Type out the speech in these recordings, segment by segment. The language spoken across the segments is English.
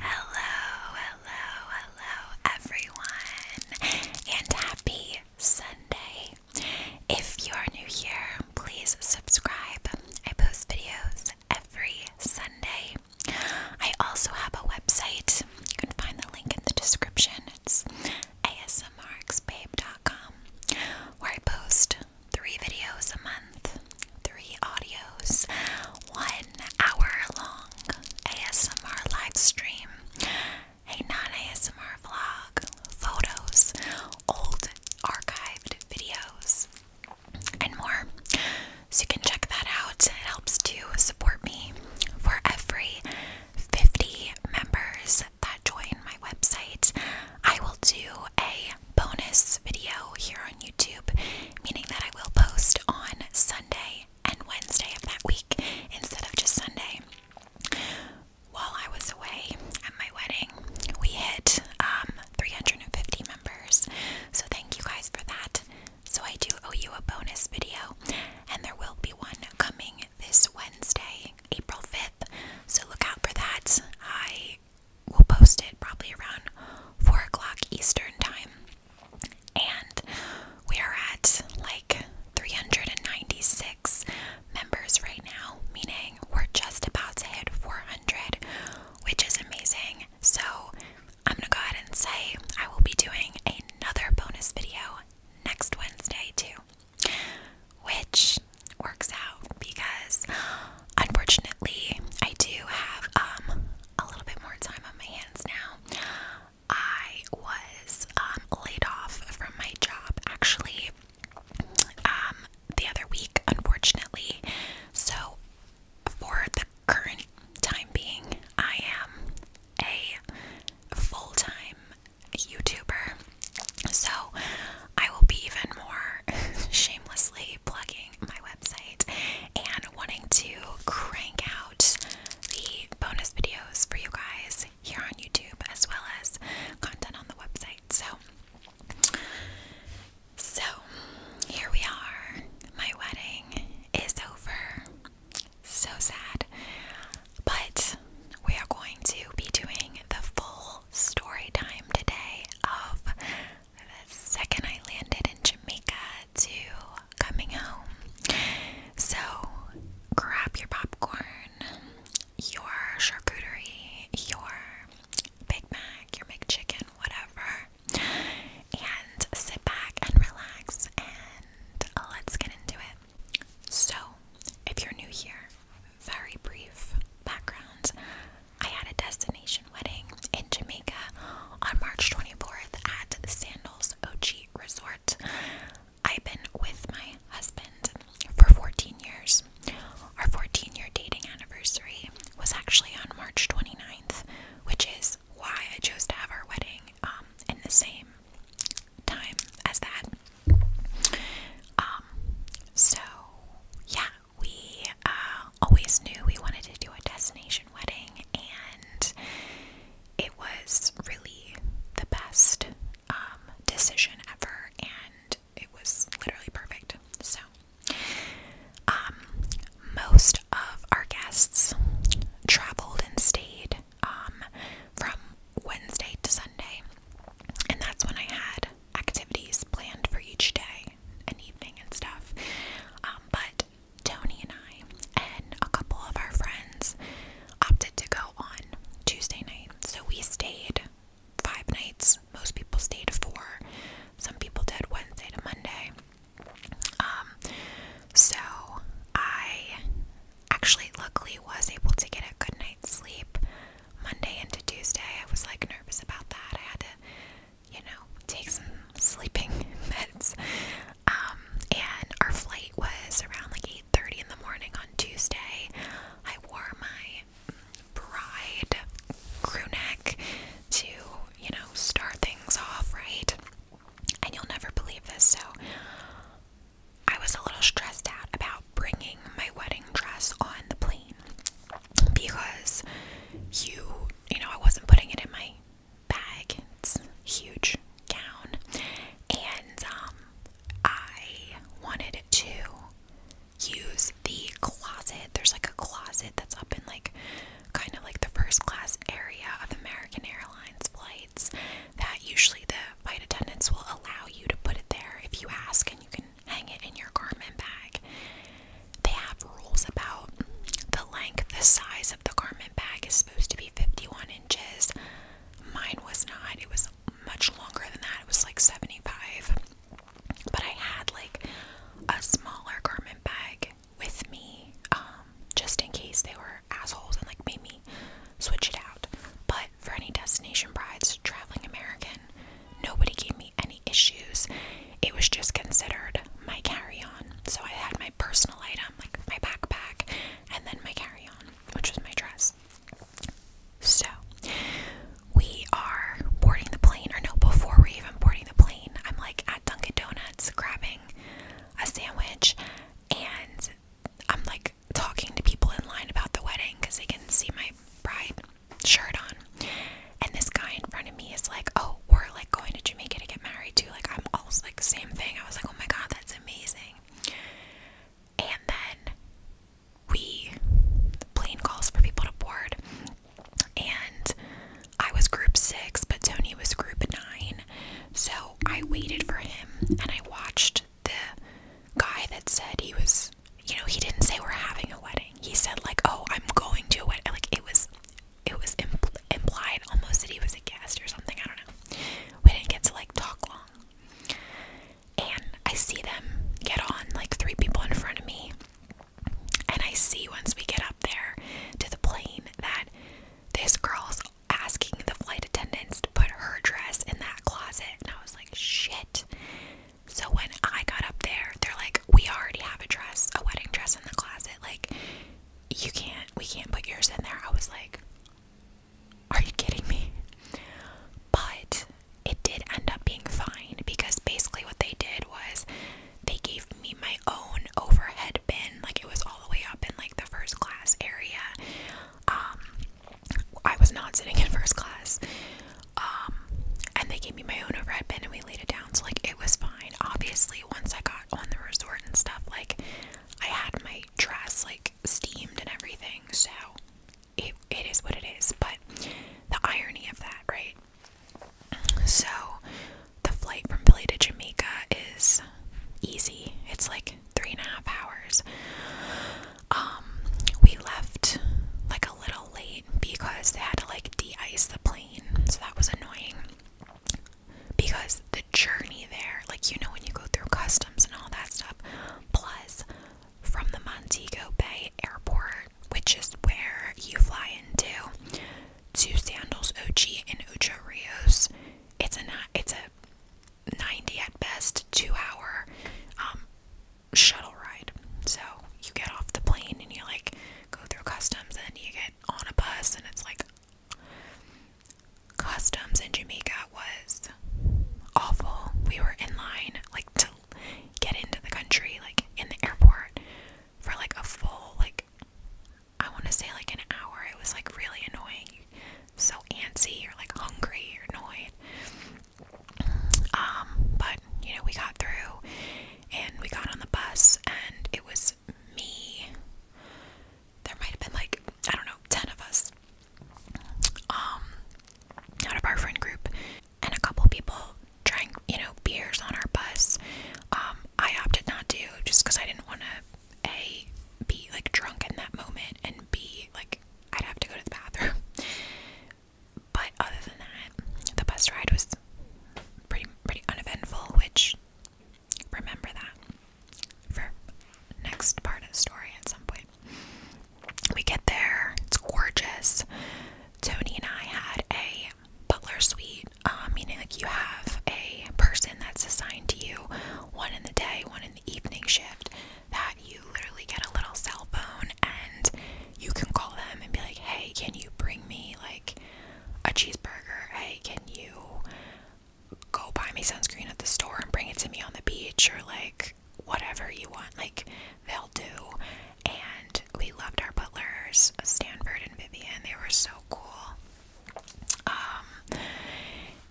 Hello, hello, hello, everyone, and happy Sunday. If you're new here, please subscribe. I post videos every Sunday. I also have a website. You can find the link in the description. It's asmrxbabe.com, where I post three videos a month, three audios, one hour long ASMR live stream, a non ASMR vlog, photos, old archived videos, and more. So you can check that out. It helps to support me for every 50 members that join my website, I will do a bonus video here on YouTube, meaning that I will post on Sunday and Wednesday of that week instead of just Sunday. While I was away at my wedding, we hit um, 350 members, so thank you guys for that. So, I do owe you a bonus video, and there will be one coming this Wednesday, April 5th. So look out for that. I will post it probably around 4 o'clock Eastern time. And we are at like 396 members right now, meaning we're just about to hit 400, which is amazing. So I'm gonna go ahead and say I will be doing another bonus video next Wednesday too which works out because unfortunately I do have um a little bit more time on my hands now. I was um, laid off from my job actually um, the other week, unfortunately. So, for the current time being, I am a full time YouTuber. So I will be even more shamelessly plugging my website and wanting to crank out the bonus videos for you guys here on YouTube as well as content on the website. So so here we are. My wedding is over. So sad. But we are going to be doing the full story time today of the second I landed in Jamaica to coming home. So grab your popcorn, your charcuterie, your Big Mac, your McChicken, whatever, and sit back and relax and let's get into it. So, if you're new here, very brief background. I had a destination wedding in Jamaica on March 24th at Sandals Ochi Resort. I've been with my husband for 14 years. Our 14 year dating anniversary was actually on March 29th, which is why I chose to have our wedding um, in the same time as that. Um, so yeah, we uh, always knew we wanted to do a destination wedding, and it was really the best um, decision ever, and it was literally perfect. So, um, most of our guests traveled and stayed um, from Wednesday to Sunday, and that's when I had activities planned for each day and evening and stuff. Um, but Tony and I and a couple of our friends opted to go on Tuesday night, so we stayed five nights. Most people stayed four, some people did Wednesday to Monday. Um, so I actually luckily was able to get a good night's sleep. Monday into Tuesday, I was like nervous about that. I had to, you know, take some sleeping meds. Um, and our flight was around like 8:30 in the morning on Tuesday. I wore my bride crew neck to, you know, start things off right. And you'll never believe this. So I was a little stressed out about bringing my wedding dress on the plane because you, you know, I wasn't putting it in my bag. It's huge gown. And um, I wanted to use the closet. There's like a closet that's up in like kind of like the first class area of American Airlines flights that usually the Flight attendants will allow you to put it there if you ask, and you can hang it in your garment bag. They have rules about the length, the size of the garment bag is supposed to be 51 inches. Mine was not, it was much longer than that, it was like 75. But I had like a smaller garment bag with me um, just in case they were assholes and like made me switch it out. But for any destination brides, traveling American, nobody gave me any issues. It was just considered my carry on. So I had my personal item, like my backpack, and then my carry on, which was my dress. So we are boarding the plane, or no, before we even boarding the plane, I'm like at Dunkin' Donuts grabbing a sandwich, and I'm like talking to people in line about the wedding because they can see my bride shirt on. And this guy in front of me is like, Oh, we're like going to Jamaica to get married too. Like, I'm also like, same thing. I was like, Oh my God, that's amazing. And then we, the plane calls for people to board. And I was group six, but Tony was group nine. So I waited for him and I watched the guy that said he was, you know, he didn't say we're having a wedding. He said like, "Oh, I'm going to a wedding." Like it was, it was implied almost that he was a guest or something. I don't know. We didn't get to like talk long. And I see them get on like three people in front of me. And I see once we get up there to the plane that this girl's asking the flight attendants to put her dress in that closet. And I was like shit. So when I got up there, they're like, we already have a dress, a wedding dress in the closet. Like, you can't, we can't put yours in there. I was like, are you kidding me? But it did end up being fine because basically what they did was they gave me my own overhead bin. Like, it was all the way up in like the first class area. Um, I was not sitting in first class. Um, and they gave me my own overhead bin and we laid it down. So, like, it was fine. Obviously, once I got on the resort and stuff, like, I had my dress, like, steamed and everything. So, it, it is what it is. But the irony of that, right? So, the flight from Philly to Jamaica is easy. It's like three and a half hours. Um, we left like a little late because they had to like de ice the plane, so that was annoying. Because the journey there, like you know, when you go through customs and all that stuff, plus from the Montego Bay Airport, which is where you fly into, to Sandals OG and Ocho Rios, it's a it's a 90 at best, two hour um, shuttle ride. So you get off the plane and you like go through customs and you get on a bus and it's like customs in Jamaica was awful. We were in line like to get into the country, like in the airport for like a full like I want to say like an hour. It was like really annoying. So antsy, you're like hungry, you're annoyed. Um, but you know, we got through and we got on the bus, and it was me. There might have been like, I don't know, 10 of us um, out of our friend group, and a couple people drank, you know, beers on our bus. Um, I opted not to just because I didn't want to, A, be like drunk in that moment, and be like I'd have to go to the bathroom. But other than that, the bus ride was pretty pretty uneventful, which remember that for next part of the story at some point. We get there, it's gorgeous. Tony and I had a butler suite, uh, meaning like you have a person that's assigned to you, one in the day, one in the evening shift that you literally get a little cell phone and you can call them and be like, hey, can you bring me like a cheeseburger? Hey, can you go buy me sunscreen at the store and bring it to me on the beach or like whatever you want? Like they'll do. And we loved our butlers, Stanford and Vivian. They were so cool. Um,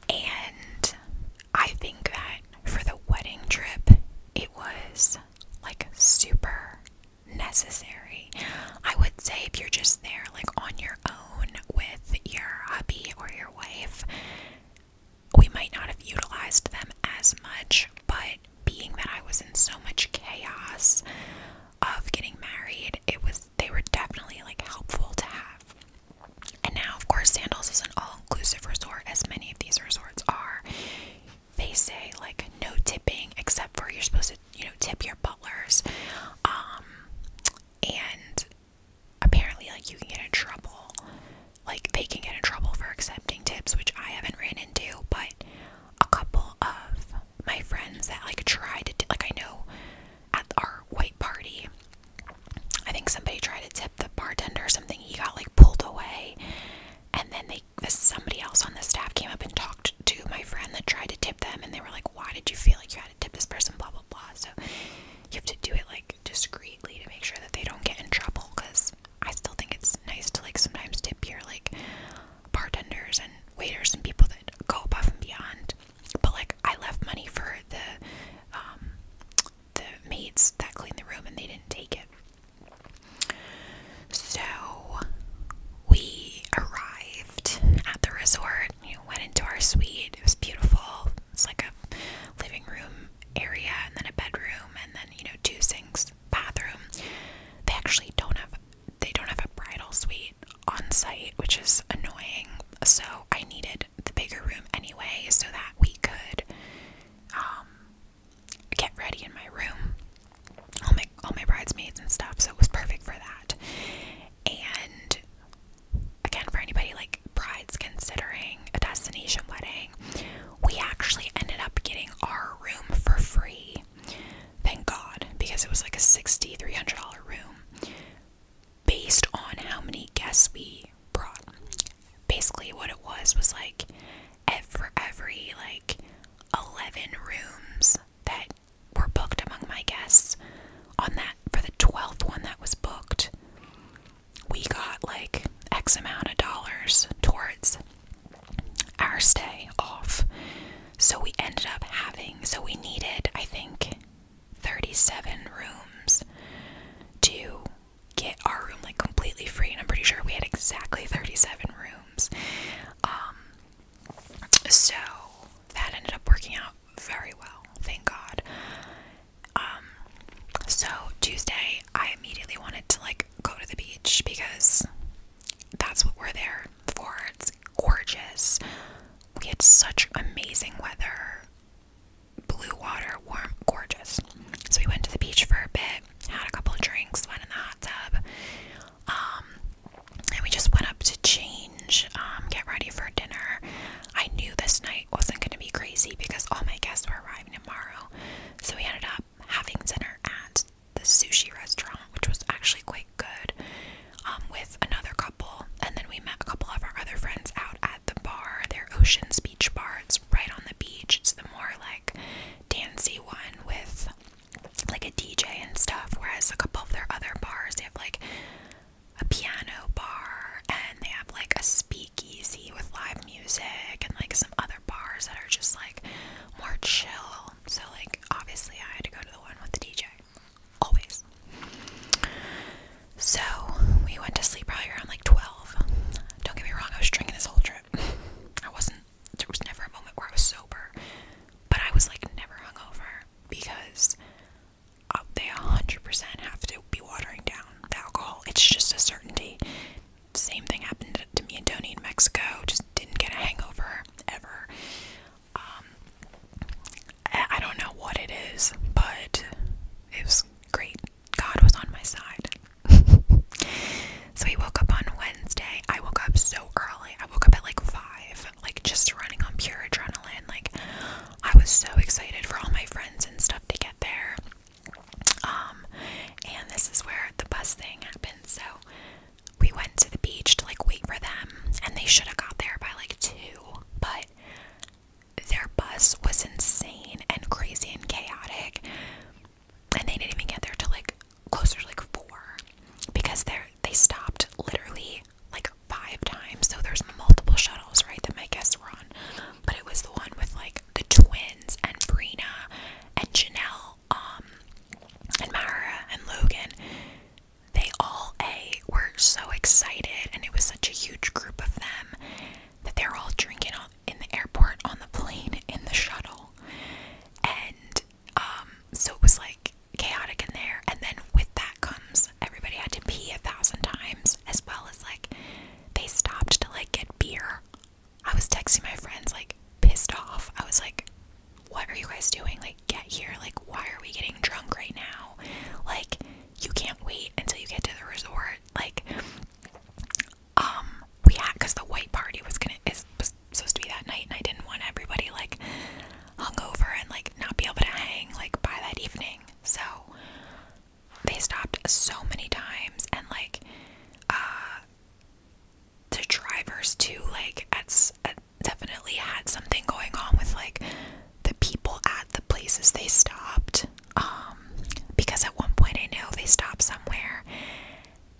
and I think that for the wedding trip, it was like super necessary. I would say if you're just there, like on your own with your hubby or your wife, we might not have utilized them as much, but being that I was in so much chaos of getting married, it was they were definitely like helpful to have. And now, of course, Sandals is an all inclusive resort, as many of these resorts are. They say, like, no tipping, except for you're supposed to, you know, tip your butlers. Um, and apparently, like, you can get in trouble. Like, they can get in trouble for accepting tips, which I haven't ran into, but a couple of my friends that, like, tried to, like, I know at our white party, I think somebody tried to tip the bartender or something. He got like pulled away, and then they somebody else on the staff came up and talked to my friend that tried to tip them, and they were like, "Why did you feel like you had to tip this person?" Blah blah blah. So you have to do it like discreetly to make sure that they don't get in trouble. Because I still think it's nice to like sometimes tip your like bartenders and waiters and people that go above and beyond. But like I left money for the um, the maids that cleaned the room and they didn't take it. So we arrived at the resort, you went into our suite. It was beautiful. It's like a living room area and then a bedroom and then, you know, two sinks, bathroom. They actually don't have they don't have a bridal suite on site, which is annoying. So I needed the bigger room anyway so that we could um, get ready in my room. All my all my bridesmaids and stuff, so it was perfect for that. And again, for anybody like brides considering a destination wedding, we actually ended up getting our room for free. Thank God, because it was like a sixty three hundred dollar room, based on how many guests we brought basically what it was was like for every like 11 rooms that were booked among my guests on that for the 12th one that was booked we got like x amount of dollars towards our stay off so we ended up having so we needed i think 37 rooms to get our room like completely free and I'm pretty sure we had exactly 37 rooms. Um so that ended up working out very well, thank God. Um so Tuesday I immediately wanted to like go to the beach because that's what we're there for. It's gorgeous. We had such amazing weather blue water, warm, gorgeous. So we went to the beach for a bit, had a couple drinks, went in the hot tub, um, and we just went up to change, um, get ready for dinner. I knew this night wasn't going to be crazy because all my guests were arriving tomorrow, so we ended up having dinner at the sushi restaurant, which was actually quite good, um, with another couple, and then we met a couple of our other friends out at at the bar, their Ocean's Beach bar. It's right on the beach. It's the more like dancey one with like a DJ and stuff. Whereas a couple of their other bars, they have like a piano bar and they have like a speakeasy with live music and like some other bars that are just like more chill. So, like, obviously, I had to go to the one with the DJ. Always. So, we went to sleep probably around like 12 don't get me wrong, I was drinking this whole trip. I wasn't, there was never a moment where I was sober, but I was like never hungover because uh, they 100% have to be watering down the alcohol. It's just a certainty. Same thing happened to me and Tony in Mexico, just didn't get a hangover ever. Um, I don't know what it is, but it was great. God was on my side. so he woke up on Wednesday. I woke up so early. I woke up at like 5, like just running on pure adrenaline. Like I was so excited for all my friends and stuff to get there. Um and this is where the bus thing happened. So we went to the beach to like wait for them and they should have got there by like 2, but their bus was insane and crazy and chaotic and they didn't even get there till like closer to like four because they they stopped literally like five times so there's multiple shuttles right that my guests were on but it was the one with like the twins and Brina and Janelle um, and Mara and Logan they all a were so excited and it was such a huge group of them that they're all drinking all in the airport, on the plane, in the shuttle. And um, so it was like chaotic in there. And then with that comes everybody had to pee a thousand times, as well as like they stopped to like get beer. I was texting my friends, like pissed off. I was like, what are you guys doing? Like, get here. Like, why are we getting drunk right now? Like, you can't wait until you get to the resort. Like, um we had because the white party was gonna is supposed to be that night and I didn't want everybody like hungover and like not be able to hang like by that evening so they stopped so many times and like uh the drivers too like at, definitely had something going on with like the people at the places they stopped um, because at one point I know they stopped somewhere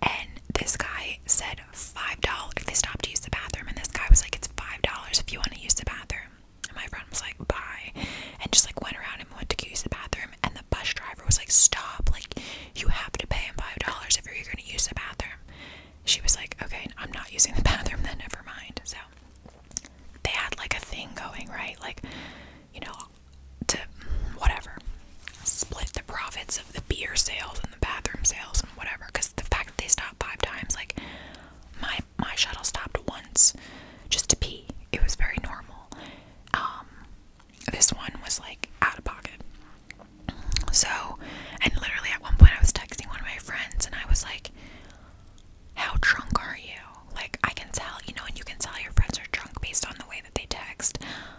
and this guy said five dollars. They stopped to use the bathroom, and this guy was like, "It's five dollars if you want to use the bathroom." And my friend was like, "Bye," and just like went around and went to use the bathroom. And the bus driver was like, "Stop! Like, you have to pay him five dollars if you're going to use the bathroom." She was like, "Okay, I'm not using the bathroom. Then never mind." So they had like a thing going, right? Like, you know, to whatever split the profits of the beer sales and the bathroom sales and whatever because the fact that they stopped five times like my my shuttle stopped once just to pee it was very normal um this one was like out of pocket so and literally at one point i was texting one of my friends and i was like how drunk are you like, I can tell, you know, and you can tell your friends are drunk based on the way that they text.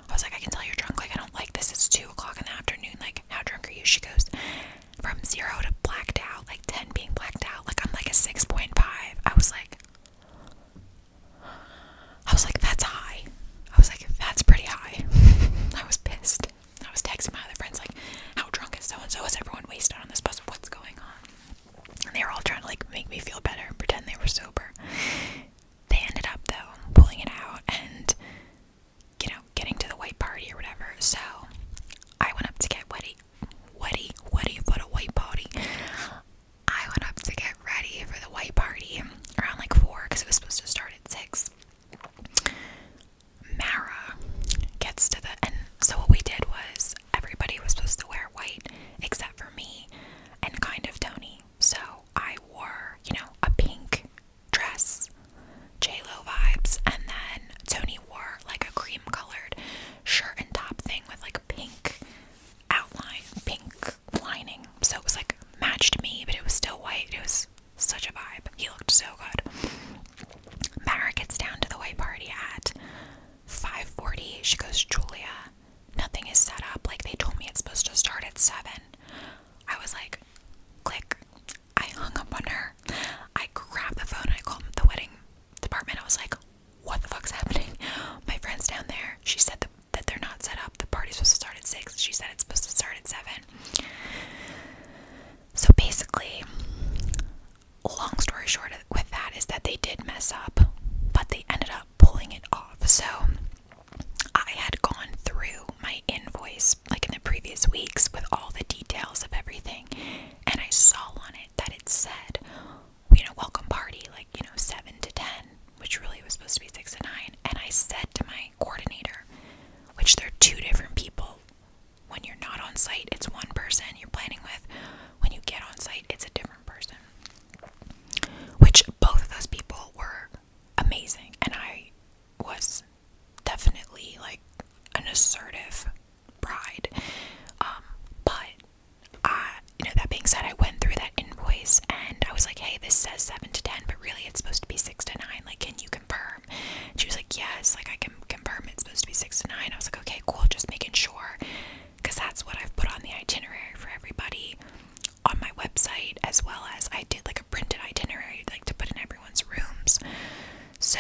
I was like, I can tell you're drunk. Like, I don't like this. It's 2 o'clock in the afternoon. Like, how drunk are you? She goes, from 0 to blacked out, like 10 being blacked out. Like, I'm like a 6.5. I was like, I was like, that's high. I was like, that's pretty high. I was pissed. I was texting my other friends, like, how drunk is so and so? Is everyone wasted on this bus? What's going on? And they were all trying to like make me feel better and pretend they were sober. They ended up though pulling it out and you know getting to the white party or whatever. So I went up to get ready, ready, ready for the white party. I went up to get ready for the white party around like four because it was supposed to start at six. Mara gets to the and so what we did was everybody was supposed to wear white except for me and kind of Tony. So I wore, you know, a pink dress, J-Lo vibes, and then Tony wore like a cream colored shirt and top thing with like pink outline, pink lining. So it was like matched me, but it was still white. It was such a vibe. He looked so good. Mara gets down to the white party at 5:40. She goes, Julia, nothing is set up. Like, they told me it's supposed to start at 7. I was like, click. I hung up on her. I grabbed the phone. I called the wedding department. I was like, what the fuck's happening? My friend's down there. She said that, that they're not set up. The party's supposed to start at 6. She said it's supposed to start at 7. So basically, long story short with that is that they did mess up, but they ended up pulling it off. So I had gone through my invoice like in the previous weeks with all the details of everything, and I saw on it that it said, you know, welcome party, like, you know, 7 to 10, which really was supposed to be 6 to 9. And I said to my coordinator, which they're two different people. When you're not on site, it's one person you're planning with. When you get on site, it's a different person which both of those people were amazing and I was definitely like an assertive bride um, but I you know that being said I went through that invoice and I was like hey this says 7 to 10 but really it's supposed to be 6 to 9 like can you confirm she was like yes like I can confirm it's supposed to be 6 to 9 I was like okay cool just making sure because that's what I've put on the itinerary for everybody on my website, as well as I did like a printed itinerary, like to put in everyone's rooms. So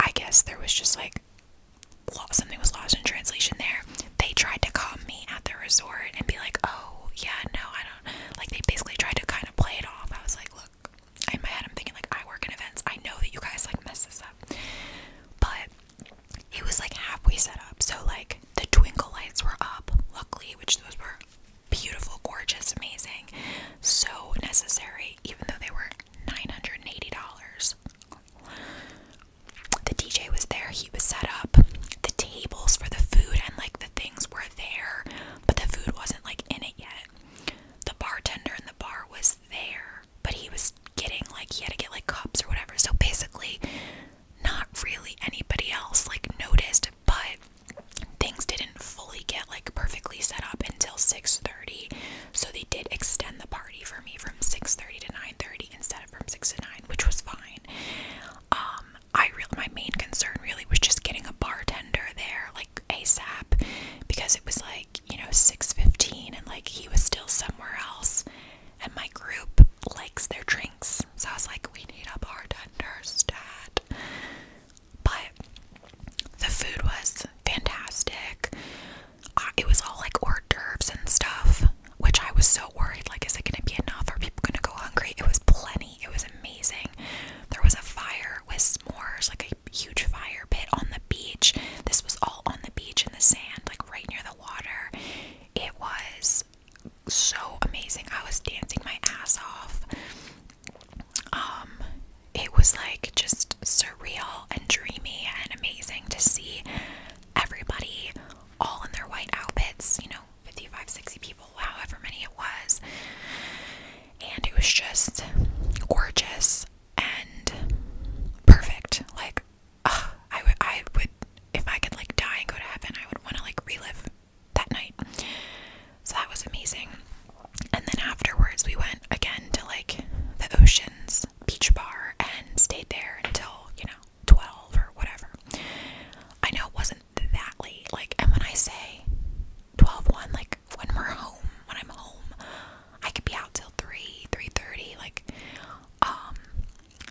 I guess there was just like something was lost in translation there. They tried to call me at the resort and be like, oh, yeah, no, I don't. Like, they basically tried to kind of play it off. I was like, look, in my head, I'm thinking, like, I work in events. I know that you guys like mess this up. But it was like halfway set up, so like the twinkle lights were up, luckily, which those were beautiful, gorgeous, amazing, so necessary, even though they were $980. The DJ was there, he was set up. The tables for the food and like the things were there, but the food wasn't like in it yet. The bartender in the bar was there, but he was getting like he had to get like cups or whatever. So basically, not really anybody else like noticed, but things didn't fully get like perfectly set up until 6:30. So they did extend the party for me from 6:30 to 9:30 instead of from 6 to 9, which was fine. Um I really my main concern really was just getting a bartender there like ASAP because it was like, you know, 6:15 and like he was still somewhere else and my group likes their drinks. So I was like, we need a bartender stat. But the food was fantastic. Uh, it was all like hors d'oeuvres and stuff, which I was so worried like, is it going to be enough? Are people going to go hungry? It was plenty. It was amazing. There was a fire with s'mores, like a huge fire pit on the beach. This was all on the beach in the sand, like right near the water. It was so amazing. I was dancing my ass off. Um, it was like just surreal and dreamy and amazing to see everybody all in their white outfits, you know, 55, 60 people, however many it was. And it was just gorgeous and perfect. Like I would, I would, if I could like die and go to heaven, I would want to like relive that night. So that was amazing. And then afterwards, we went again to like the Oceans Beach Bar and stayed there until you know 12 or whatever. I know it wasn't that late, like, and when I say 12 1, like when we're home, when I'm home, I could be out till 3 three thirty, Like, um,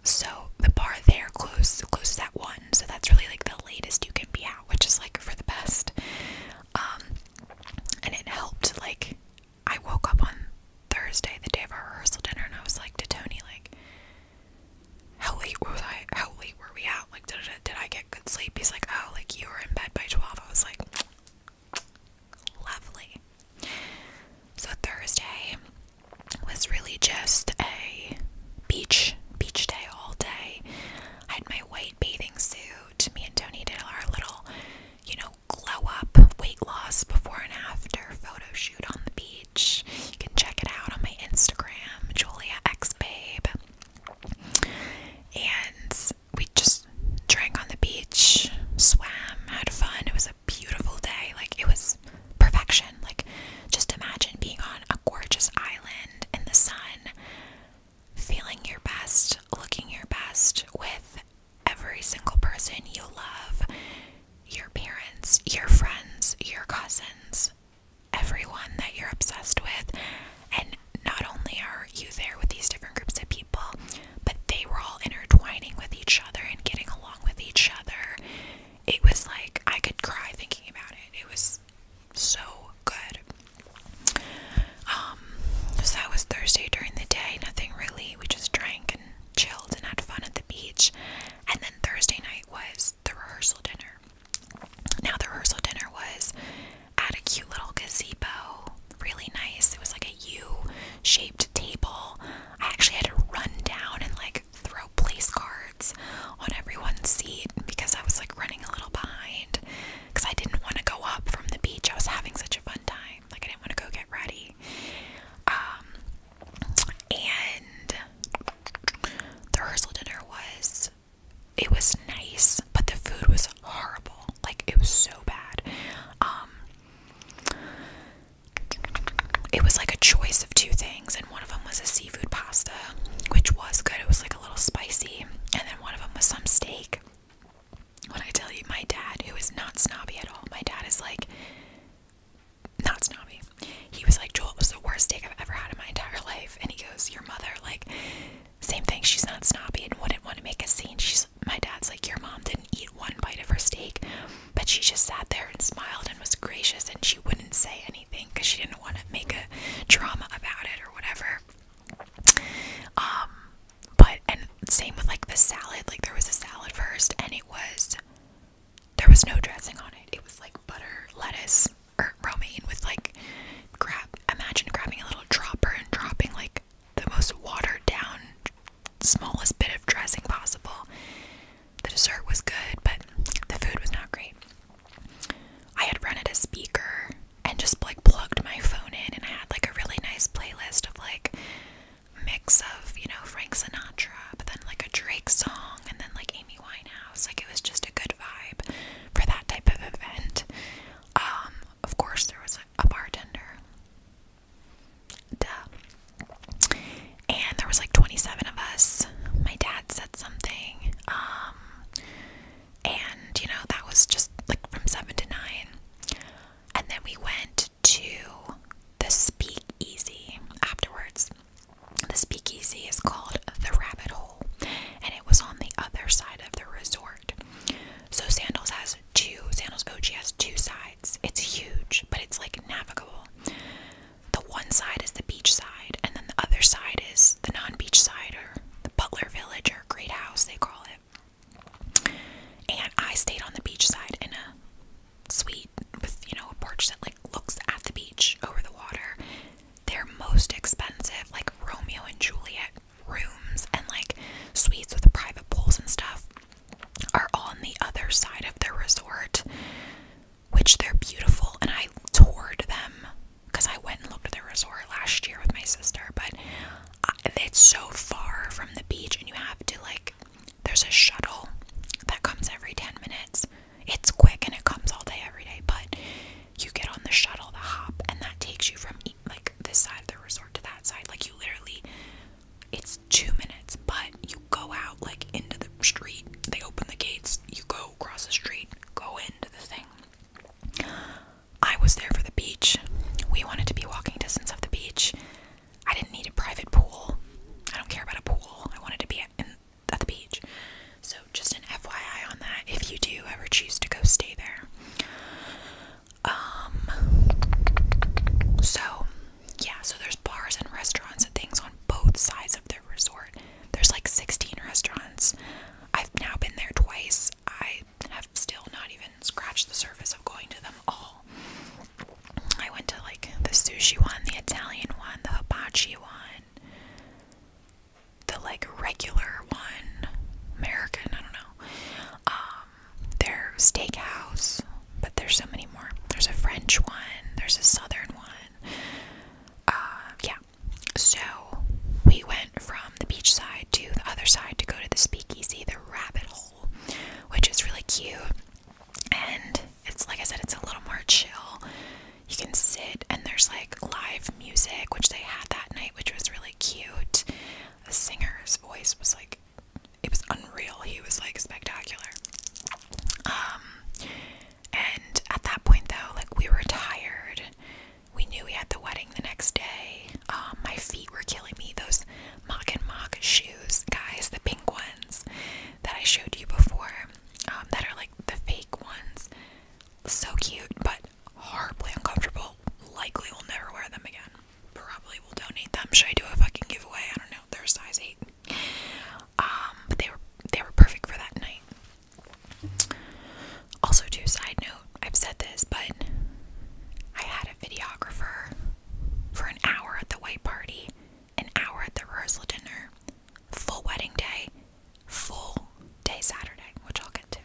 so the bar there closed closes at one, so that's really like the latest you can be out, which is like for the best. Um, and it helped. Like I woke up on Thursday, the day of our rehearsal dinner, and I was like to Tony, like, how late was I? How late were we out? Like, did, did I get good sleep? He's like, oh, like you were in bed by twelve. I was like, lovely. So Thursday was really just a beach beach day all day. I had my white bathing suit. Me and Tony did our little, you know, glow up weight loss before and after photo shoot on the beach. You can check it out on my Instagram, Julia X Babe. And we just drank on the beach, swam, had fun. It was a beautiful day. Like it was perfection. Like just imagine being on a gorgeous island in the sun, feeling your best, looking your best with every single person you love, your parents, your friends, your cousins, everyone that you're obsessed with. And not only are you there with these different groups of people, but they were all intertwining with each other and getting along with each other. It was like I could cry thinking about it. It was so good. Um, so that was Thursday during the day, nothing really. We just drank and chilled and had fun at the beach. And then Thursday night was the rehearsal dinner. Now, the rehearsal dinner was at a cute little gazebo, really nice. It was like a U shaped table. I actually had to run down and like throw place cards on everyone's seat because I was like running a little behind because I didn't want to go up from the beach. I was having such a fun time. Like I didn't want to go get ready. Um and the rehearsal dinner was it was nice, but the food was horrible. Like it was so bad. Um it was like a choice of two things, and one of them was a seafood pasta, which was good. It was like a little spicy, and then one of them was some steak. When I tell you, my dad, who is not snobby at all, my dad is like not snobby. He was like, Joel, it was the worst steak I've ever had in my entire life. And he goes, Your mother, like, same thing. She's not snobby and wouldn't want to make a scene. She's my dad's like, Your mom didn't eat one bite of her steak. But she just sat there and smiled and was gracious and she wouldn't say anything because she didn't want to make a drama about it or whatever. Um, but and same with like the salad, like there was a salad first and it was there was no dressing on it. It was like butter, lettuce, or er, romaine with like grab imagine grabbing a little dropper and dropping like the most watered down smallest bit of dressing possible the dessert was good, but the food was not great. I had rented a speaker and just like plugged my phone in, and I had like a really nice playlist of like mix of you know Frank Sinatra, but then like a Drake song, and then like Amy Winehouse. Like it was just a good vibe for that type of event. Um, of course, there was a bartender Duh. And there was like 27 of us. My dad said something. Um, and you know, that was just like from 7 to 9. And then we went to the speakeasy afterwards. The speakeasy is called the Rabbit Hole, and it was on the other side of the resort. So Sandals has two, Sandals OG has two sides. It's huge, but it's like navigable. The one side is the beach side, and then the other side is the non beach side or the Butler Village or Great House, they call it. And I stayed on the beach side in a suite with, you know, a porch that like looks at the beach over the water. They're most expensive, like Romeo and Juliet rooms and like suites with private pools and stuff are on the other side of the resort, which they're beautiful. And I toured them because I went and looked at the resort last year with my sister, but it's so far from the beach, and you have to like, there's a shuttle that comes every 10 minutes. It's quick and it comes all day, every day, but you get on the shuttle, the hop, and that takes you from like this side of the resort to that side. Like, you literally it's two minutes, but you go out like into the street. They open the gates. You go across the street. Go into the thing. I was there for the beach. We wanted to be walking distance of the beach. I didn't need a private pool. I don't care about a pool. I wanted to be at, the beach. So, just an FYI on that if you do ever choose to go stay there. Um, so yeah, so there's bars and restaurants and things on both sides of the resort. There's like 16 restaurants. I've now been there twice. I have still not even scratched the surface of going to them all. I went to like the sushi one, the Italian one, the hibachi one, the like regular one, American, I don't know. Um, their steakhouse, there's so many more. There's a French one, there's a southern one. Uh, yeah. So we went from the beach side to the other side to go to the speakeasy, the rabbit hole, which is really cute. And it's like I said, it's a little more chill. You can sit and there's like live music, which they had that night, which was really cute. The singer's voice was like it was unreal. He was like spectacular. Um, and at that point though, like we were tired. We knew we had the wedding the next day. Um, my feet were killing me. Those mock and mock shoes, guys, the pink ones that I showed you before, um, that are like the fake ones. So cute, but horribly uncomfortable. Likely will never wear them again. Probably will donate them. Should I do a fucking giveaway? I don't know they're a size eight. Um, but they were they were perfect for that night. Also, too, side note, I've said this, but I had a videographer for an hour at the white party, an hour at the rehearsal dinner, full wedding day, full day Saturday, which I'll get to.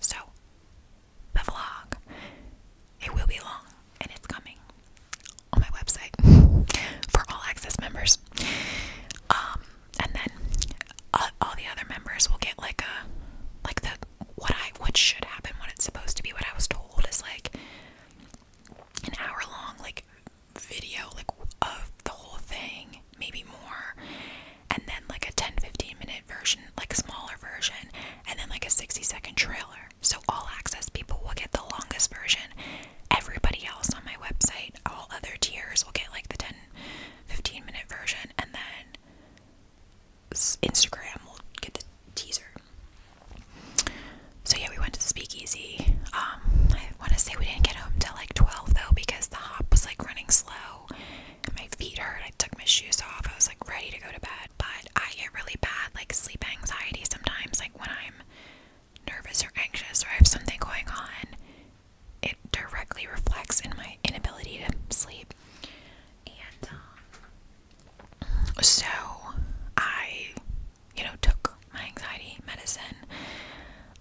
So the vlog. It will be long and it's coming on my website for all access members. Um, and then uh, all the other members will get like a like the what I what should happen, when it's supposed to be, what I was told is like an hour long like video like of the whole thing, maybe more, and then like a 10-15 minute version, like smaller version, and then like a 60 second trailer. So, all access people will get the longest version. Everybody else on my website, all other tiers will get like the 10 15 minute version, and then Instagram will get the teaser. So, yeah, we went to the speakeasy. Um, I want to say we didn't get home till like 12 though because the hop was like running slow my feet hurt. I took my shoes off, I was like ready to go to bed, but I get really bad like sleep anxiety sometimes, like when I'm nervous or anxious or I have something going on, it directly reflects in my inability to sleep. And um, so I, you know, took my anxiety medicine.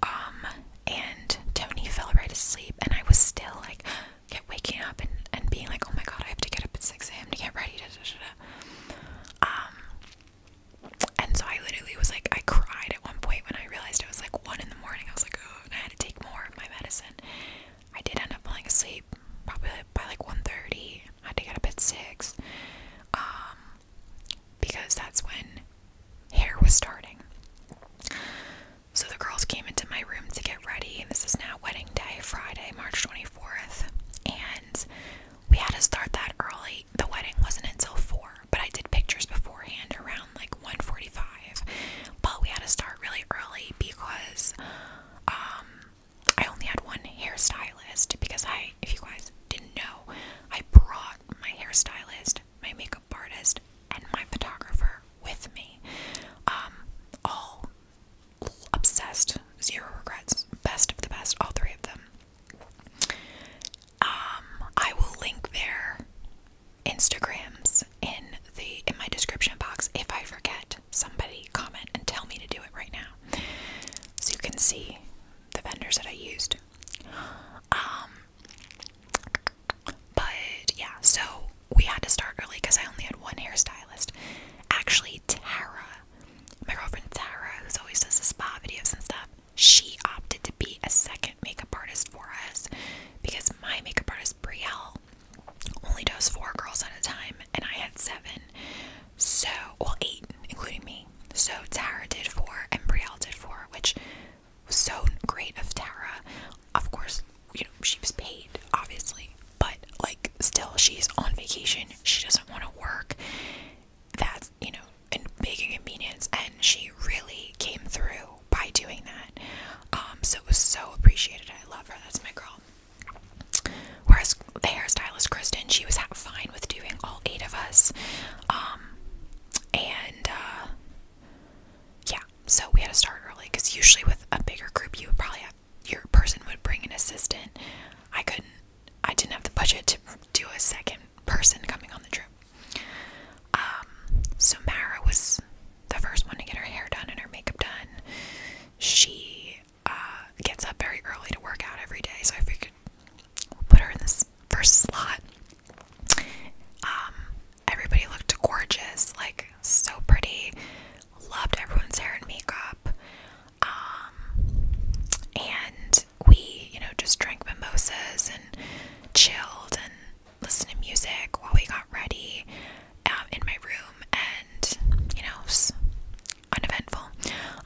Um, and Tony fell right asleep, and I was still like, kept waking up and, and being like, oh my god, I have to get up at 6 a.m. to get ready. Da, Um, and so I literally was like, I cried at one point when I realized it was like one in the morning. I was like, oh, I had to take more of my medicine. I did end up falling asleep probably by like 1.30. I had to get up at 6. Um, because that's when hair was starting. So the girls came into my room to get ready. This is now wedding day, Friday, March 24th. And we had to start that early. The wedding wasn't until four, but I did pictures beforehand around like 1:45. But we had to start really early because um, I only had one hairstylist because I, if you guys didn't know, I brought my hairstylist, my makeup artist, and my photographer with me. Um, all obsessed, zero regrets, best of the best, all three of them. Um, I will link their Instagrams in the in my description box if I forget. Somebody comment and tell me to do it right now. So you can see the vendors that I used. Um, but yeah, so we had to start early because I only had one hairstylist. Actually, Tara, my girlfriend Tara, who's always does the spa videos and stuff. She opted to be a second makeup artist for us because my makeup artist Brielle only does four girls at a time, and I had seven. So, well, eight, including me. So Tara did four, and Brielle did four, which was so great of Tara. Of course, you know she was paid, obviously, but like still, she's on vacation. She doesn't want to work, that's you know a big inconvenience and she really came through by doing that um, so it was so appreciated i love her that's my girl whereas the hairstylist kristen she was fine with doing all eight of us um, and uh, yeah so we had to start early because usually with a bigger group you would probably have your person would bring an assistant i couldn't I didn't have the budget to do a second person coming on the trip. Um, so Mara was the first one to get her hair done and her makeup done. She uh, gets up very early to work out every day, so I figured we'll put her in this first slot. Um, everybody looked gorgeous, like so pretty. Loved everyone's hair and makeup. Um, and we, you know, just drank mimosas and chilled and listened to music while we got ready out um, in my room, and you know, it uneventful.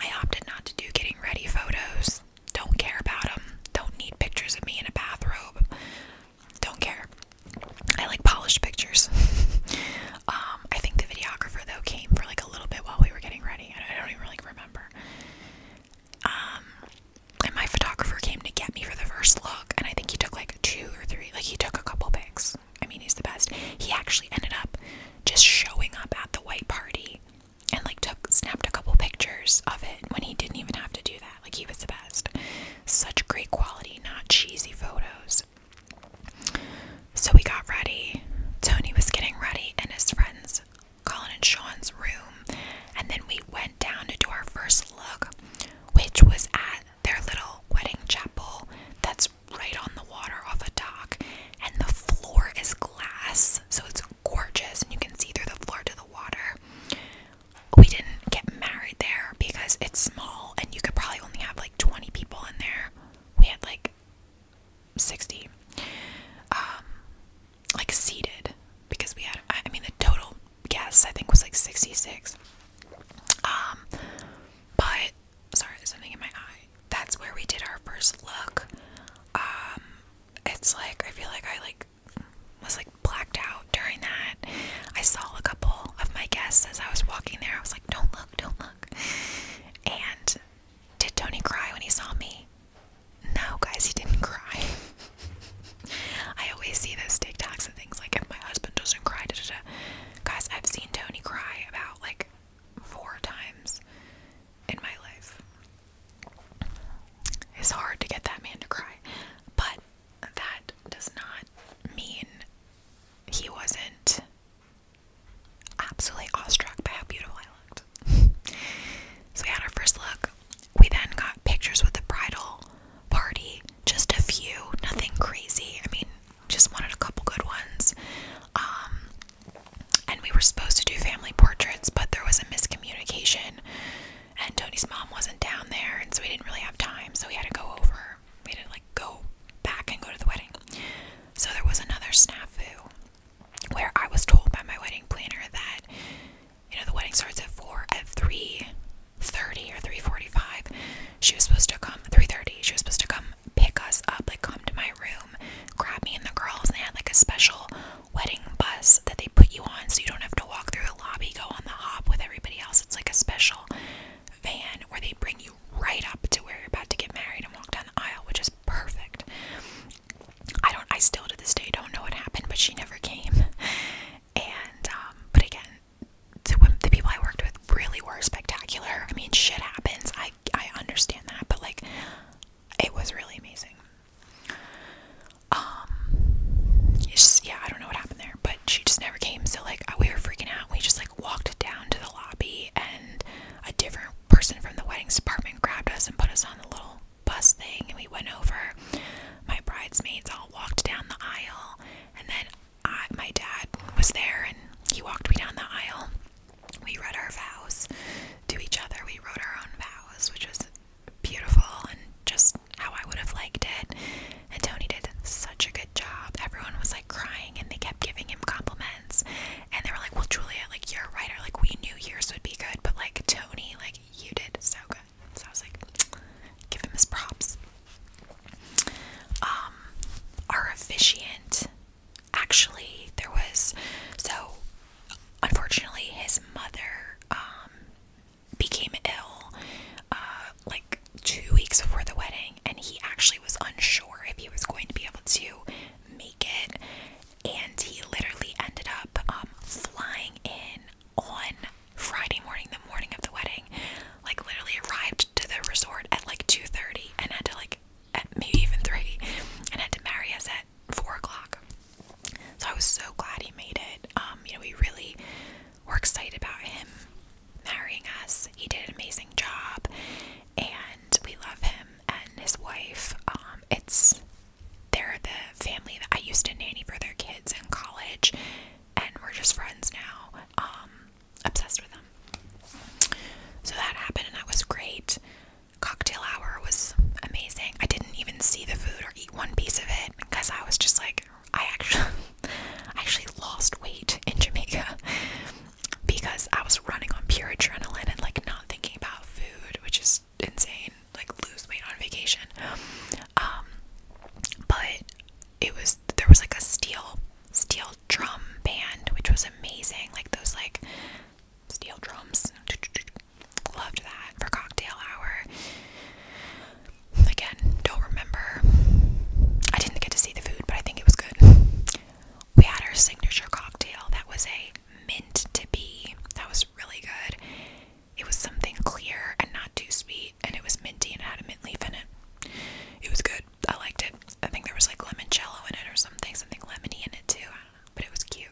I opted not to do getting ready photos. Don't care about them. Don't need pictures of me in a bathrobe. Don't care. I like polished pictures. um, I think the videographer though came for like a little bit while we were getting ready. I don't, even really remember. Um, and my photographer came to get me for the first look, and I think he took like two or three. Like he took a couple pics. I mean, he's the best. He actually ended up just showing up at the white party and like took snapped a couple pictures of it when he didn't even have to do that. Like he was the best. Such great quality, not cheesy photos. So we got ready. Tony was getting ready in his friends, Colin and Sean's room. And then we went down to do our first look, which was at their little wedding chapel that's right on the water off a dock. And the floor is glass, so it's gorgeous, and you can see through the floor to the water. We didn't get married there because it's small, and you could probably only have like 20 people in there. We had like 60 um like seated because we had I mean the total guess I think was like 66 um but sorry there's something in my eye that's where we did our first look um it's like I feel like I like was like blacked out during that I saw a couple of my guests as I was walking there I was like don't look don't look and did Tony cry when he saw me? No, guys, he didn't cry. I always see those TikToks and things like, if my husband doesn't cry, guys, I've seen Tony cry about like four times in my life. It's hard to get that man to cry, but that does not mean he wasn't absolutely awestruck by how beautiful I looked. so we had our first look. We then got pictures with the bridal party, just a few, nothing crazy. I mean, just wanted a couple good ones. Um, and we were supposed to do family portraits, but there was a miscommunication, and Tony's mom wasn't down there, and so we didn't really have time. So we had to go over. We had to like go back and go to the wedding. So there was another snafu where I was told by my wedding planner that you know the wedding starts at four at three thirty or three forty five. She was supposed to come three thirty. She was supposed to come pick us up, like come to my room, grab me and the girls. And they had like a special wedding bus that they put you on, so you don't have to walk through the lobby, go on the hop with everybody else. It's like a special van where they bring you right up to where you're about to get married and walk down the aisle, which is perfect. I don't I still to this day don't know what happened, but she never came. And um, but again, the the people I worked with really were spectacular. I mean, shit happens. I I understand that, but like it was really amazing. Um yeah, I don't know what happened there, but she just never came. So like we were freaking out. We just like walked down to the lobby and a different person from the weddings department grabbed us and put us on the little bus thing, and we went over. My bridesmaids all walked down the aisle, and then I, my dad was there, and he walked me down the aisle. We read our vows to each other. We wrote our own vows, which was beautiful and just how I would have liked it. And Tony did such a good job. Everyone was like crying, and they kept giving him compliments and they were like, Well, Julia, like you're a writer, like we knew yours would be good, but like Tony, like you did so good. So I was like, give him his props. Um, our officiant actually there was so unfortunately his mother um became ill uh like two weeks before the wedding and he actually was unsure if he was going to be able to make it and he literally ended up um, flying in on Friday morning, the morning of the wedding. Like literally arrived to the resort at like two thirty, and had to like at maybe even three, and had to marry us at four o'clock. So I was so glad he made it. Um, you know, we really were excited about him marrying us. He did an amazing job, and we love him and his wife. Um, it's they're the family that I used to nanny for their kids in college, and we're just friends now. Um, obsessed with them. So that happened, and that was great. Cocktail hour was amazing. I didn't even see the food or eat one piece of it because I was just like, I actually, I actually lost weight in Jamaica because I was running on pure adrenaline and like not thinking about food, which is insane. Like lose weight on vacation. Um, but it was there was like a steel steel drum band, which was amazing. Like those like steel drums. Loved that for cocktail hour. Again, don't remember. I didn't get to see the food, but I think it was good. We had our signature cocktail that was a meant to be. That was really good. It was something clear and not too sweet, and it was minty and had a mint leaf in it. It was good. I liked it. I think there was like lemon limoncello in it or something, something lemony in it too. but it was cute.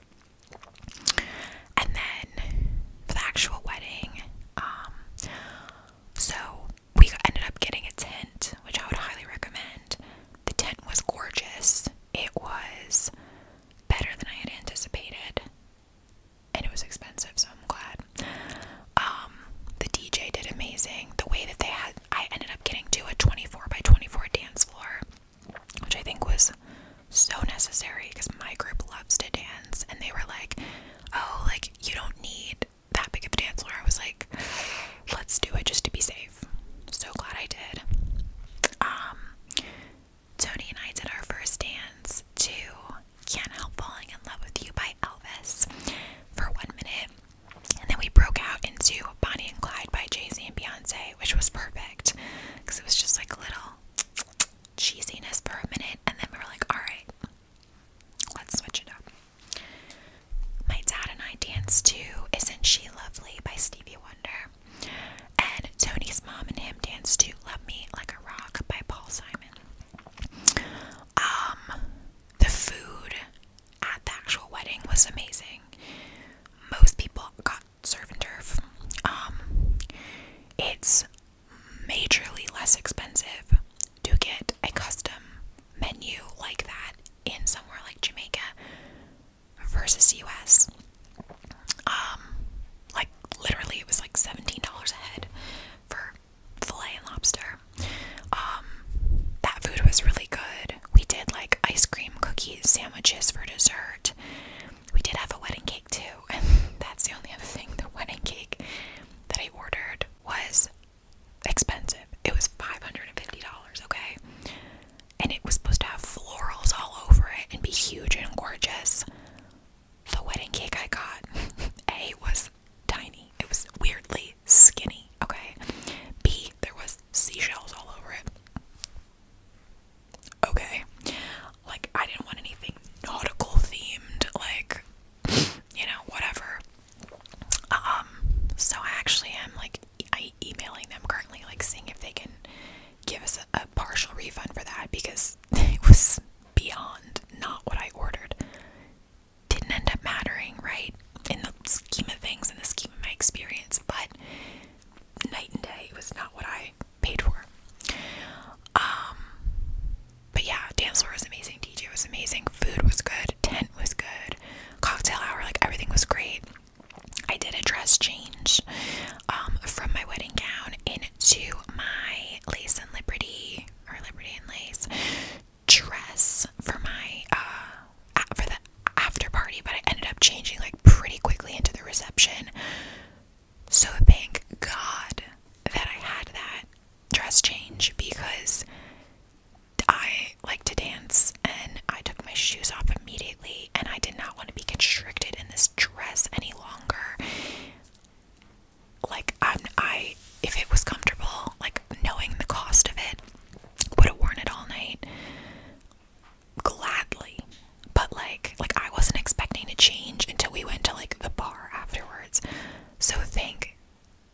And then for the actual wedding, um, so we ended up getting a tent, which I would highly recommend. The tent was gorgeous. It was better than I had anticipated. And it was expensive, so I'm glad. Um, the DJ did amazing. The way that they had, I ended up getting to a 24 by 24 dance floor, which I think was so necessary because my group loves to dance. And they were like, oh, like, you don't need that big of a dance floor. I was like, let's do it just to be safe life. So glad I did. Um, Tony and I did our first dance to Can't Help Falling in Love with You by Elvis for one minute. And then we broke out into Bonnie and Clyde by Jay Z and Beyonce, which was perfect because it was just like a little cheesiness for a minute. And then we were like, all right, let's switch it up. My dad and I danced to Isn't She Lovely by Stevie Wonder. And Tony's mom and him danced to Love Me Like a Rock by Paul Simon. Um, the food at the actual wedding was amazing. Most people got serve turf. Um, it's majorly less expensive to get a custom menu like that in somewhere like Jamaica versus the US. Um, like literally, it was like seventeen dollars a head for fillet and lobster. Um, that food was really good. We did like ice cream, cookies, sandwiches for dessert. We did have a wedding cake too, and that's the only other thing. The wedding cake that I ordered was expensive. It was $550, okay? and it was supposed to have florals all over it and be huge and gorgeous. The wedding cake I got, A, was tiny. It was weirdly skinny, okay? B, there was seashells all over it. Okay. Like, I didn't want anything nautical themed, like, you know, whatever. Um, so I actually am, like, I emailing them currently, like seeing if they can give us a, partial refund for that because it was beyond not what I ordered. Didn't end up mattering, right? In the scheme of things, in the scheme of my experience, but night and day, it was not what I paid for. Um, but yeah, dance floor was amazing, DJ was amazing, food was good, tent was good, cocktail hour, like everything was great. I did a dress change um, from my wedding gown into my lace and liberty or liberty and lace dress for my uh, for the after party, but I ended up changing like pretty quickly into the reception. So thank God that I had that dress change because I like to dance and I took my shoes off immediately and I did not want to be constricted in this dress any longer. Like I'm I if it was comfortable, like knowing the cost of it, would have worn it all night gladly. But like like I wasn't expecting to change until we went to like the bar afterwards. So thank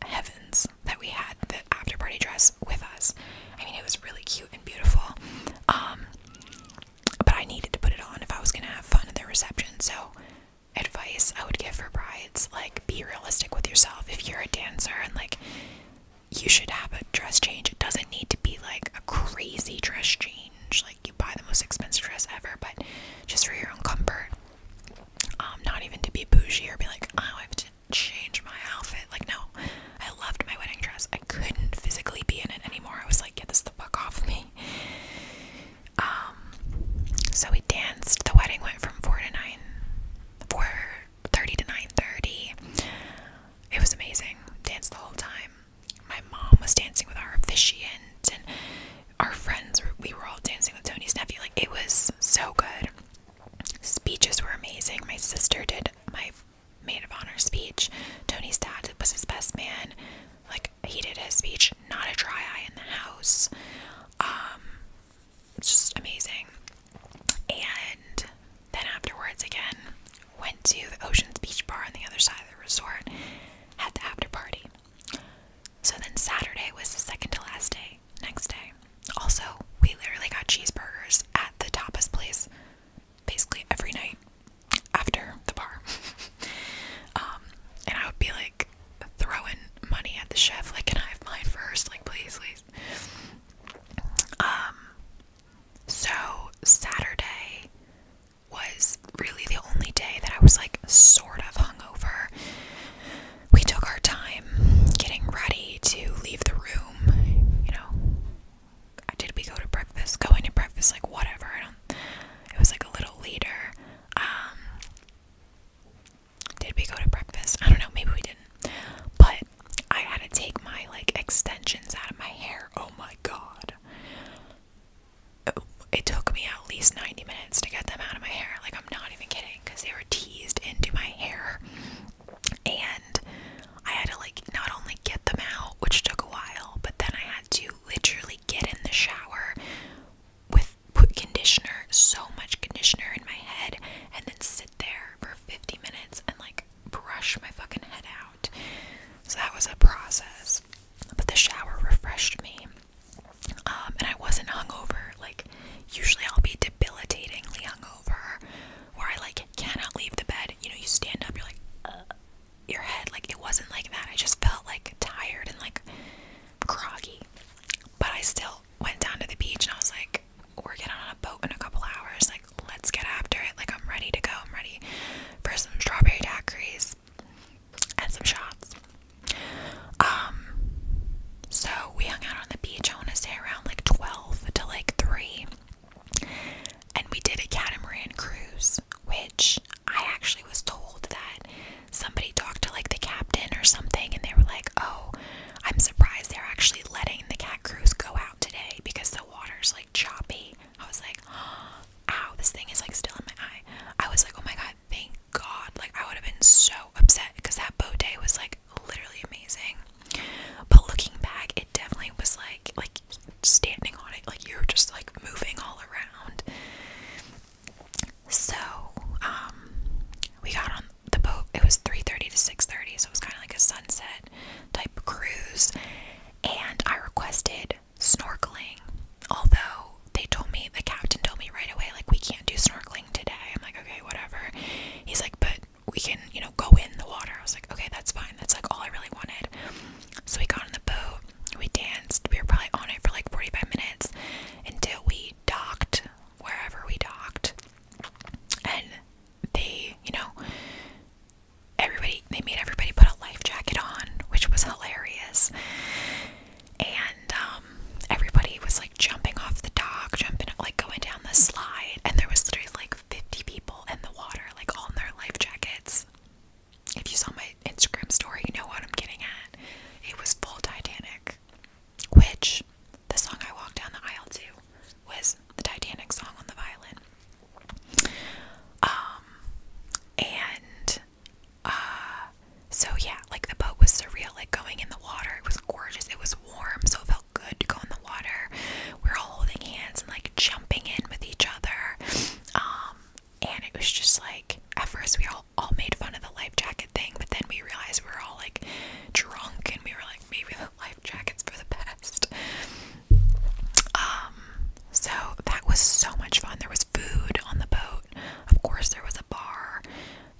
heavens that we had the after party dress with us. I mean it was really cute beautiful. Um, but I needed to put it on if I was gonna have fun at their reception. So, advice I would give for brides like be realistic with yourself. If you're a dancer and like you should have a dress change, it doesn't need to be like a crazy dress change. Like you buy the most expensive dress ever, but just for your own comfort. Um, not even to be bougie or be like, oh, I have to change my outfit. Like, no, I loved my wedding dress. I couldn't physically be in it anymore. I was like, get this the fuck off me. Um, so we danced. The wedding went from four to nine, four thirty to nine thirty. It was amazing. Danced the whole time. My mom was dancing with our officiant, and our friends. we were all dancing with Tony's nephew. Like, it was so good. Speeches were amazing. My sister did my Made of honor speech. Tony's dad was his best man. Like he did his speech, not a dry eye in the house. Um, it's just amazing. And then afterwards, again, went to the Ocean's Beach Bar on the other side of the resort, had the after party. So then Saturday was the second to last day. Next day, also we literally got cheeseburgers at the tapas place basically every night after the bar. Um, and I would be like throwing money at the chef, like, can I have mine first? Like, please, please. Um, so Saturday was really the only day that I was like sort of hungover. We took our time getting ready to leave the room, you know, did we go to breakfast? Going to breakfast, like whatever. It was like a little later. Um, did we go to breakfast? I don't know. Maybe we didn't. But I had to take my like extensions out of my hair. Oh my god. it took me at least 90 minutes to get them out of my hair. Like I'm not even kidding because they were teased into my hair. And I had to like not only get them out, which took a while, but then I had to literally get in the shower with put conditioner, so much conditioner in my head, and then sit there for 50 minutes and like brush my fucking head out. So that was a process. But the shower refreshed me. Um, and I wasn't hungover. Like, usually I'll be debilitatingly hungover where I like cannot leave the bed. You know, you stand up, you're like, uh, your head, like it wasn't like that. I just felt like tired and like groggy. But I still went down to the beach and I was like, we're getting on a boat in a couple hours. Like, let's get after it. Like, I'm ready to go. I'm ready for some strawberry daiquiris and some shots. Um, so we hung out on the beach. I want to say around like 12 to like 3. And we did a catamaran cruise, which I actually was told that somebody talked to like the captain or something, and they were like, Oh, I'm surprised they're actually letting the cat cruise go out today because the water's like choppy. I was like, oh, Ow, this thing is like still in my eye. I was like, Oh my god, thank God. Like, I would have been so upset because that boat day was like literally amazing. But looking back, it definitely was like like standing on it, like you're just like moving all around. So, um, we got on the boat. It was 3:30 to 6:30, so it was kind of like a sunset type cruise. And I requested snorkeling, although they told me the captain told me right away like we can't do snorkeling today. I'm like, okay, whatever. He's like, but we can, you know, go in the water. I was like, okay, that's fine. That's like all I really wanted. So we got on the boat, we danced, we were probably on it for like 45 minutes until we docked wherever we docked. And they, you know, everybody, they made everybody put a life jacket on, which was hilarious. And um, everybody was like jumping off the dock, jumping, like going down the slide. And there was literally like 50 people in the water, like all in their life jackets. If you saw my Instagram story, you know what I'm getting at. It was full Titanic, which the song I walked down the aisle to was the Titanic song on the violin. Um, and uh, so yeah, like the boat was surreal, like going in the water, it was gorgeous, it was warm, so it felt felt good to go in the water. We were all holding hands and like jumping in with each other. Um, and it was just like at first we all all made fun of the life jacket thing, but then we realized we were all like drunk and we were like maybe the life jackets for the best. Um, so that was so much fun. There was food on the boat. Of course there was a bar.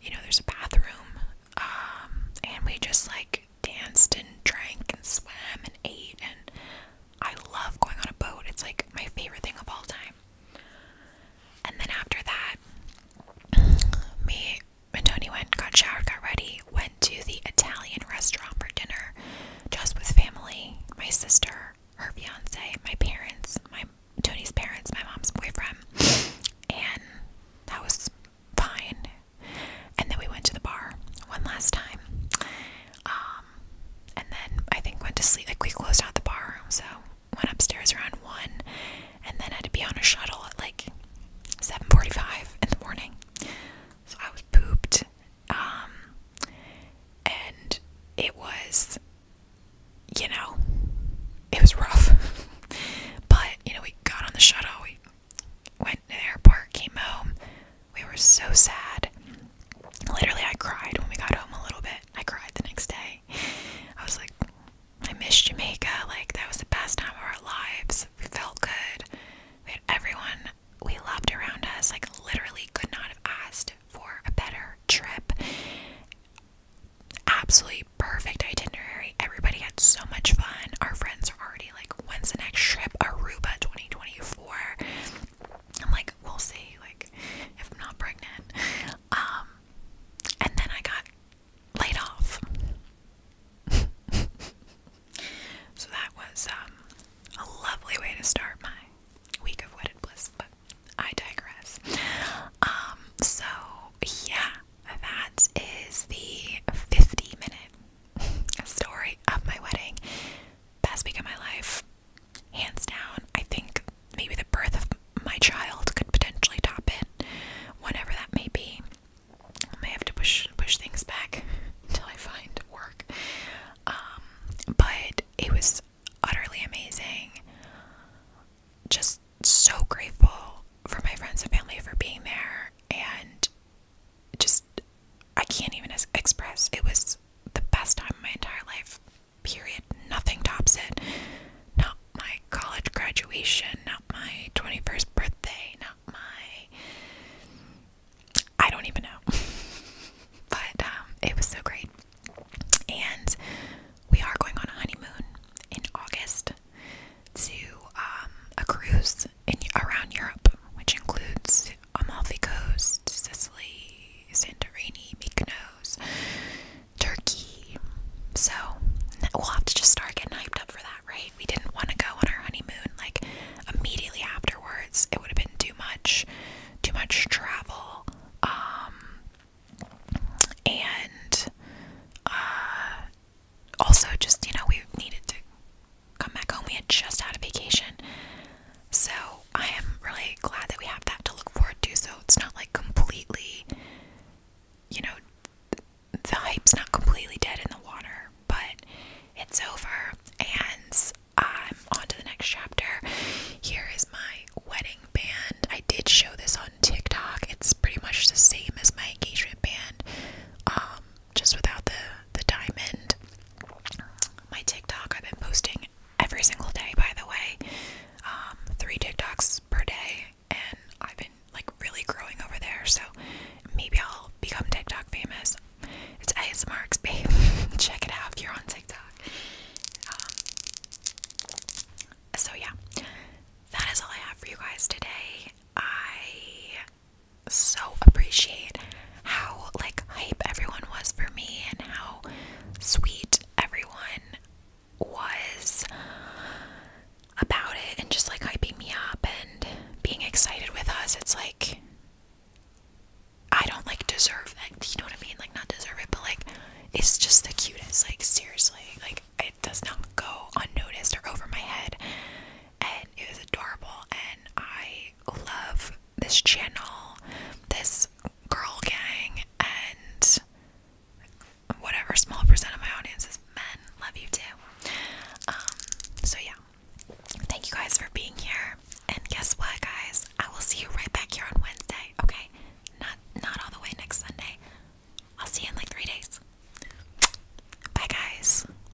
You know, there's a bathroom. Um, and we just like danced and drank and swam and ate and I love going on a boat. It's like my favorite thing of all time. And then after that, me and Tony went, got showered, got ready, went to the Italian restaurant for dinner, just with family, my sister, her fiance, my parents, my Tony's parents, my mom's boyfriend, and that was fine and then we went to the bar one last time. Um, and then I think went to sleep. Like we closed out the bar, so went upstairs around one, and then had to be on a shuttle at like seven forty-five in the morning. So I was pooped. Um, and it was, you know, it was rough. but you know, we got on the shuttle went to the airport, came home. We were so sad. Literally, I cried when we got home a little bit. I cried the next day. I was like, I missed Jamaica. Like, that was the best time of our lives. We felt good. We had everyone we loved around us. Like, literally, could not have asked for a better trip. Absolutely perfect itinerary. Everybody had so much fun. Our friends are already like when's the next trip Aruba 2024 I'm like we'll see like if I'm not pregnant um and then I got laid off so that was um, a lovely way to start my week of wedded bliss but I digress um so yeah that is the 50 minute a story of my wedding. Best week of my life, hands down. I think maybe the birth of my child could potentially top it, whatever that may be. I may have to push push things back until I find work. Um, but it was utterly amazing. Just so grateful for my friends and family for being there and just I can't even express. It was the best time of my entire life. Period. Nothing tops it. Not my college graduation, not my 21st birthday, not my I don't even know. but um, it was so great. And we are going on a honeymoon in August to um, a cruise in around Europe, which includes Amalfi Coast, Sicily, Santorini, Mykonos, Turkey. So we'll have to just start getting hyped up for that, right? We didn't want to go on our honeymoon like immediately afterwards. It would have been too much, too much travel. Um, and uh, also just you know we needed to come back home. We had just had a vacation, so I am really glad that we have that to look forward to. So it's not like completely, you know, the hype's not completely dead in the water, but it's over, and I'm on to the next chapter. Here is my wedding band. I did show this on TikTok. It's pretty much the same as my engagement band. Um, just without the the diamond. My TikTok I've been posting every single day, by the way, um, three TikToks per day, and I've been like really growing over there. So maybe I'll become TikTok famous. It's ASMRX, babe. Check it out if you're on TikTok. Um, so yeah, that is all I have for you guys today. I so appreciate how like hype everyone was for me and how sweet everyone was about it and just like hyping me up and being excited with us. It's like I don't like deserve that. You know what I mean? Like not deserve it, but like it's just the cutest. Like seriously, like it does not go unnoticed or over my head and it was adorable and I love this channel, this girl gang and whatever small percent of my audience is men. Love you too. Um, so yeah. Thank you guys for being here. And guess what guys? I will see you right back here on Wednesday. Okay? Not not all the way next Sunday. I'll see you in like three days. Bye guys.